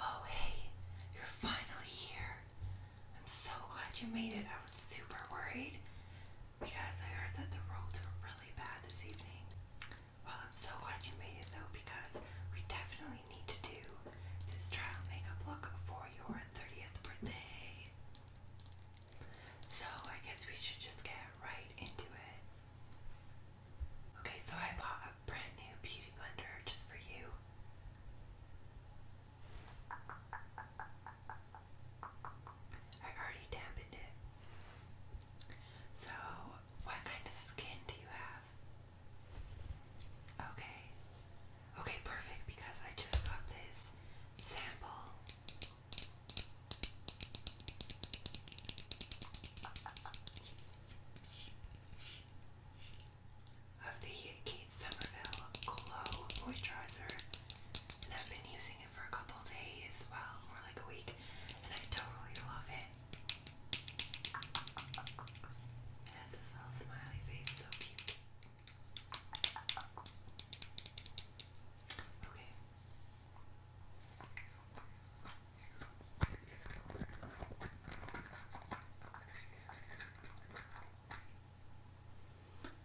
Oh, hey, you're finally here. I'm so glad you made it. I was super worried because I heard that the roads were really bad this evening. Well, I'm so glad you made it though because we definitely need to do this trial makeup look for your 30th birthday. So I guess we should just get right into it. Okay, so I bought a brand new beauty blender just for you. I already dampened it. So what kind of skin do you have? Okay. Okay, perfect, because I just got this sample. Of the Kate Somerville Glow Moisturizer, and I've been using it for a couple days, well, more like a week, and I totally love it. It has this little smiley face, so cute. Okay.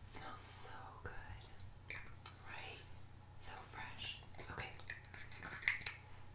smells so good. Right? So fresh. Okay.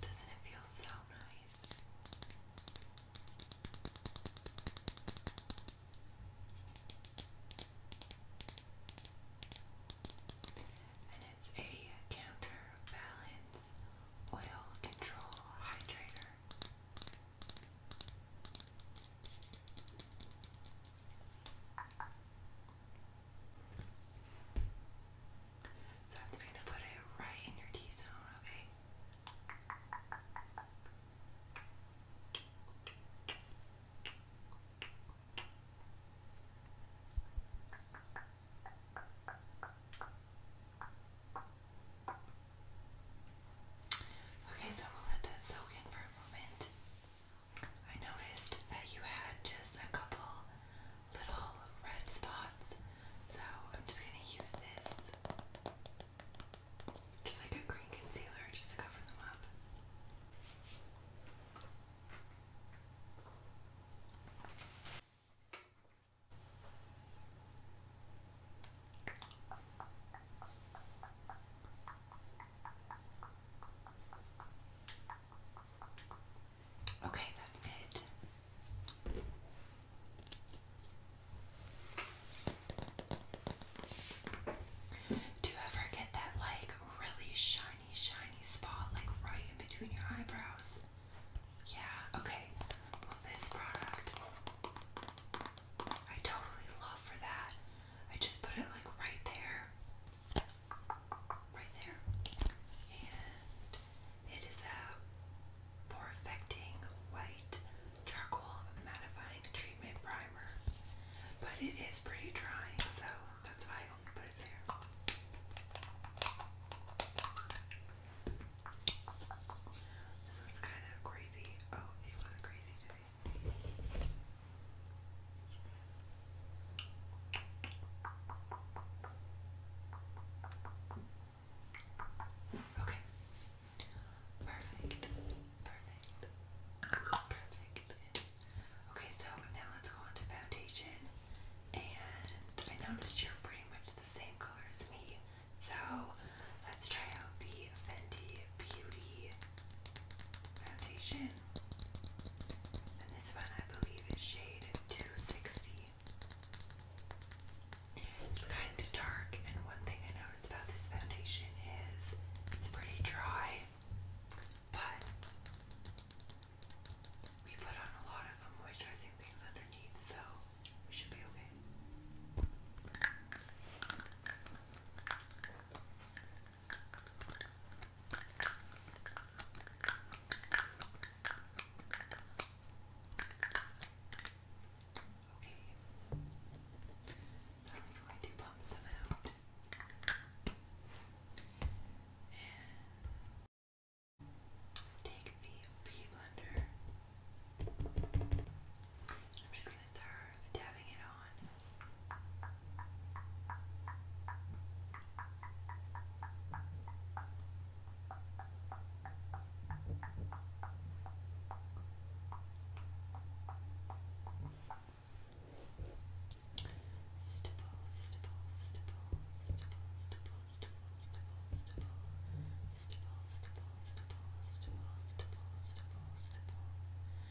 Doesn't it feel so nice? And it's a counterbalance oil control hydrator. So I'm just going to put it right in your T zone, okay? Okay, Okay, so we'll let that soak in for a moment. I noticed that you had just a couple little red spots, so I'm just gonna use this just like a green concealer just to cover them up. Okay, that's it. Do you ever get that like really shiny, shiny spot like right in between your eyebrows? Yeah, okay. this product I totally love for that. I just put it like right there, right there, and it is a perfecting white charcoal mattifying treatment primer, but it is pretty drying, so that's why I only put it there. This one's kind of crazy. Oh, it wasn't crazy today. Okay. Perfect. Perfect. Perfect. Okay, so now let's go on to foundation. And I noticed you're pretty much the same color as me. So let's try out the Fenty Beauty foundation. And this one, I believe, is shade 260. It's kind of dark, and one thing I noticed about this foundation is it's pretty dry, but we put on a lot of moisturizing things underneath, so we should be okay. Okay. So I'm just going to pump some out. And take the pea blender. I'm just gonna start dabbing it on. Stipple, stipple, stipple, stipple, stipple, stipple, stipple, stipple, stipple, stipple, stipple, stipple, stipple, stipple,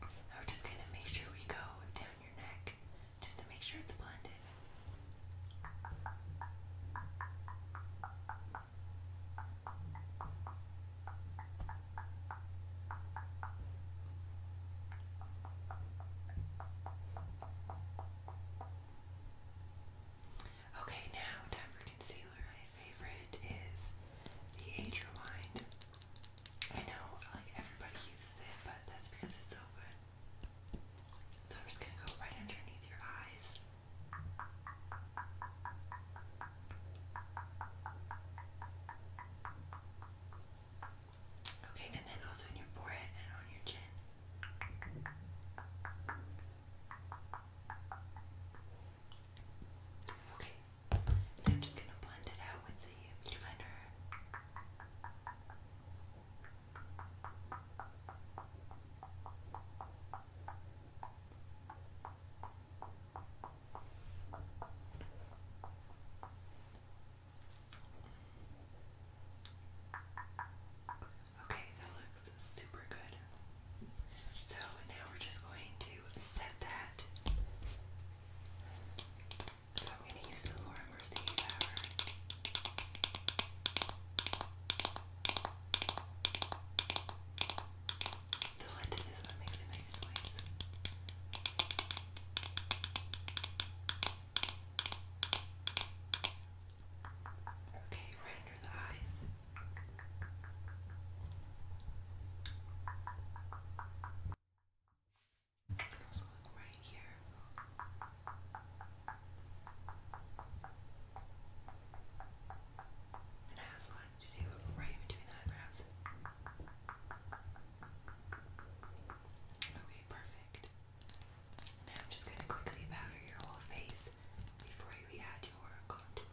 we're just gonna make sure we go down your neck just to make sure it's blended. Okay, now time for concealer. My favorite is the Age Rewind I know, like, everybody uses it, but that's because it's so good. So I'm just gonna go right underneath your eyes. Okay, and then also in your forehead and on your chin. Okay, I'm just gonna blend it out with the beauty blender. Okay, that looks super good. So now we're just going to set that so I'm going to use the Laura Mercier powder. The lint is what makes a nice noise. Okay, right under the eyes. Also look right here. And it has a lot to do right between the eyebrows. Okay, perfect. Now I'm just gonna quickly powder your whole face before we add your contour.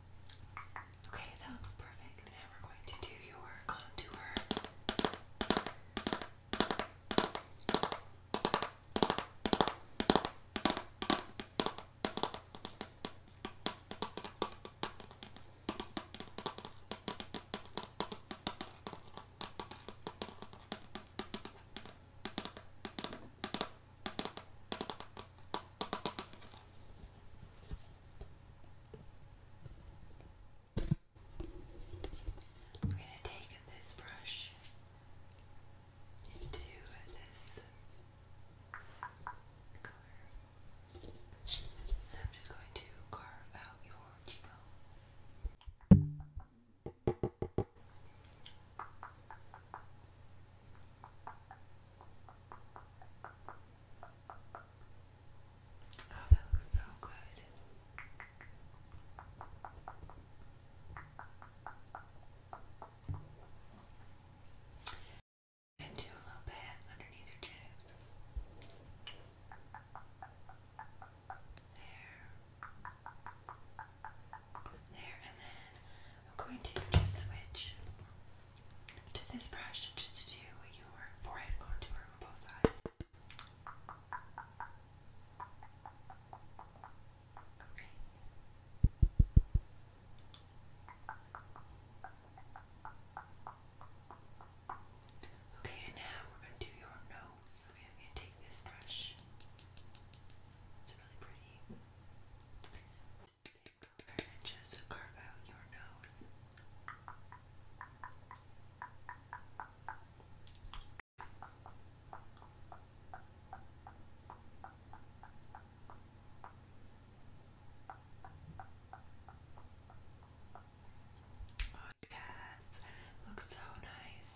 Okay, that looks perfect. Now we're going to do your contour. I'm going to take this brush into this color. And I'm just going to carve out your cheekbones. Oh, do a little bit underneath your chin. There. There, and then I'm going to just switch to this brush just to do your forehead contour on both sides. Okay. and now we're going to do your nose. Okay, I'm going to take this brush. It's really pretty color and just carve out your nose. Oh looks so nice.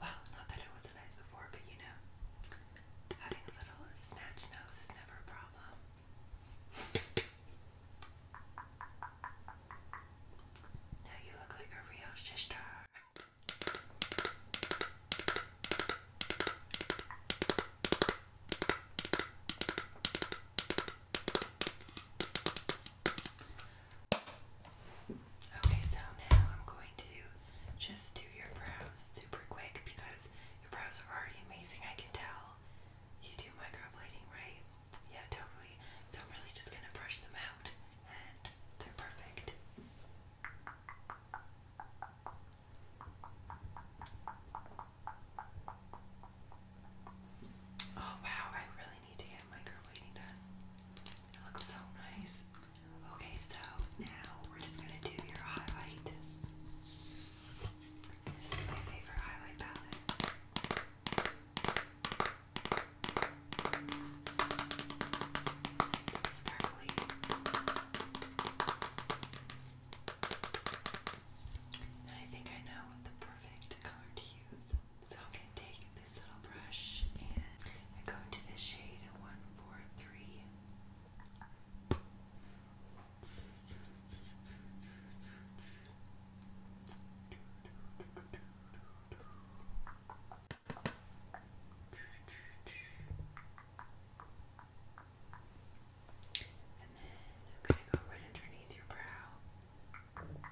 Well, not that it wasn't nice before, but you know, having a little snatch nose is never a problem. Now you look like a real sister. Okay, so now I'm going to just do your brows super quick because your brows are already amazing, I can tell you do microblading, right? Yeah, totally. So I'm really just gonna brush them out, and they're perfect. Oh wow, I really need to get microblading done. It looks so nice. Okay, so now we're just gonna do your highlight. This is my favorite highlight palette. It's so sparkly. I think I know the perfect color to use. So I'm going to take this little brush and I go into the shade 143. And then I'm going to go right underneath your brow. And then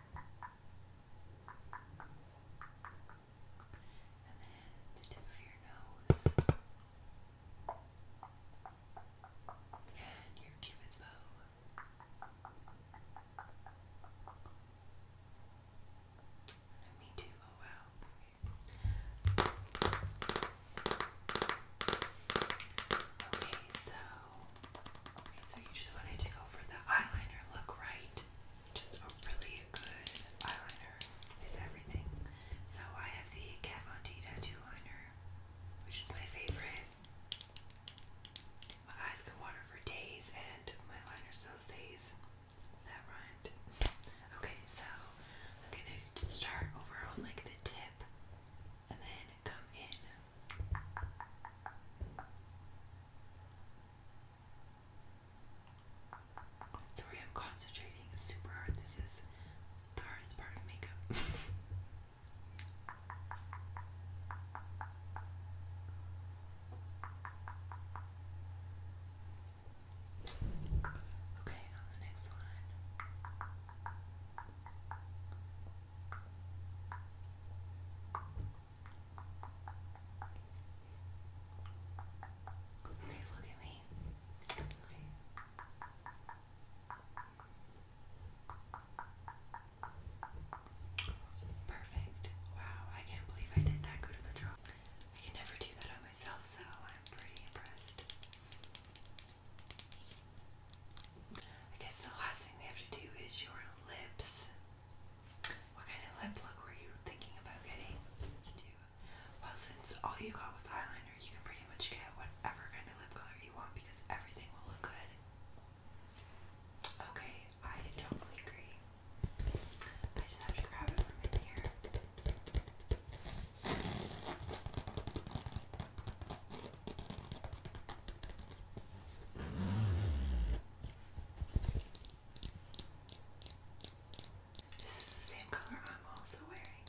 the tip of your nose. And your cupid's bow. Me too. Oh wow. Okay. so okay, so you just wanted to go for the eyeliner look, right? Just a really good eyeliner is everything. So I have the Kat tattoo liner, which is my favorite. My eyes can water for days, and my liner sells days. That rhymed. Okay, so I'm gonna start over on like the tip and then come in. Sorry, I'm concentrating super hard. This is the hardest part of makeup. Okay, on the next line. Okay, look at me. Okay. Perfect. Wow, I can't believe I did that good of a job. I can never do that on myself, so I'm pretty impressed. I guess the last thing we have to do is your lips. What kind of lip look were you thinking about getting? Well, since all you got was eyeliner, you can pretty much get whatever kind of lip color you want because everything will look good. Okay, I totally agree. I just have to grab it from in here. This is the same color I'm also wearing.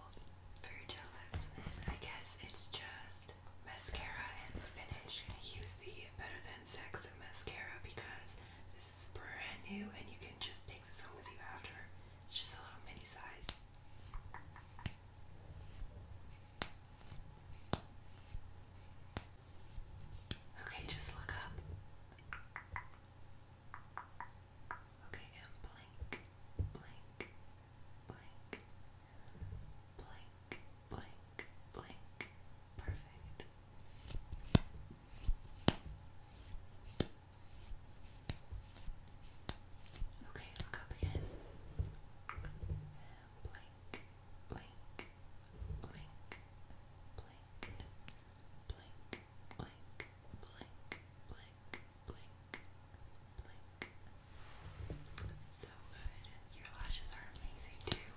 very jealous. I guess it's just mascara and finish. I'm gonna use the Better Than Sex mascara because this is brand new and you can just take this home with you after. It's just a little mini size. Okay, just look up. Okay, and blink, blink, blink, blink, Blink, blink, blink. Perfect. Okay, look up again. And blink, blink, blink, blink, blink, blink, blink, blink, blink, blink. So good. Your lashes are amazing too.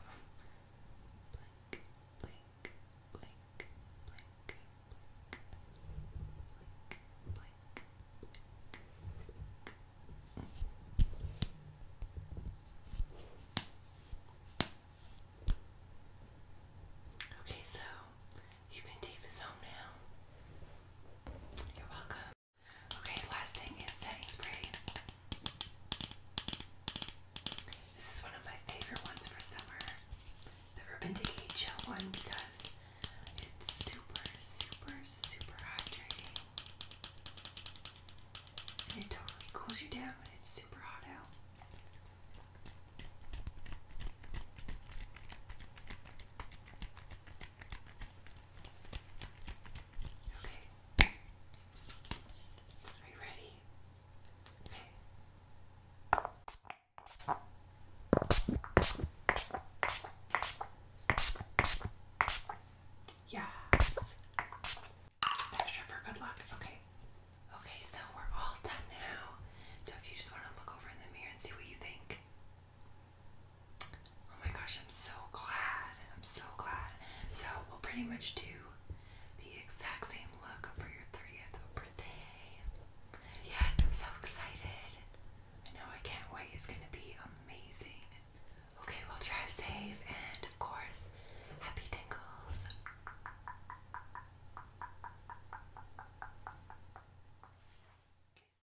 Okay, so you can take this home now. You're welcome. Okay, last thing is setting spray. This is one of my favorite ones for summer. The Urban Decay one because it's super, super, super hydrating. And it totally cools you down when it's super hot out. Okay. Are you ready? Okay. Yes. Measure for good luck. Okay. Okay, so we're all done now. So if you just want to look over in the mirror and see what you think. Oh my gosh, I'm so glad. I'm so glad. So we'll pretty much do the exact same look for your 30th birthday. Yeah, I'm so excited. I know I can't wait. It's gonna be amazing. Okay, well drive safe and of course, happy tingles.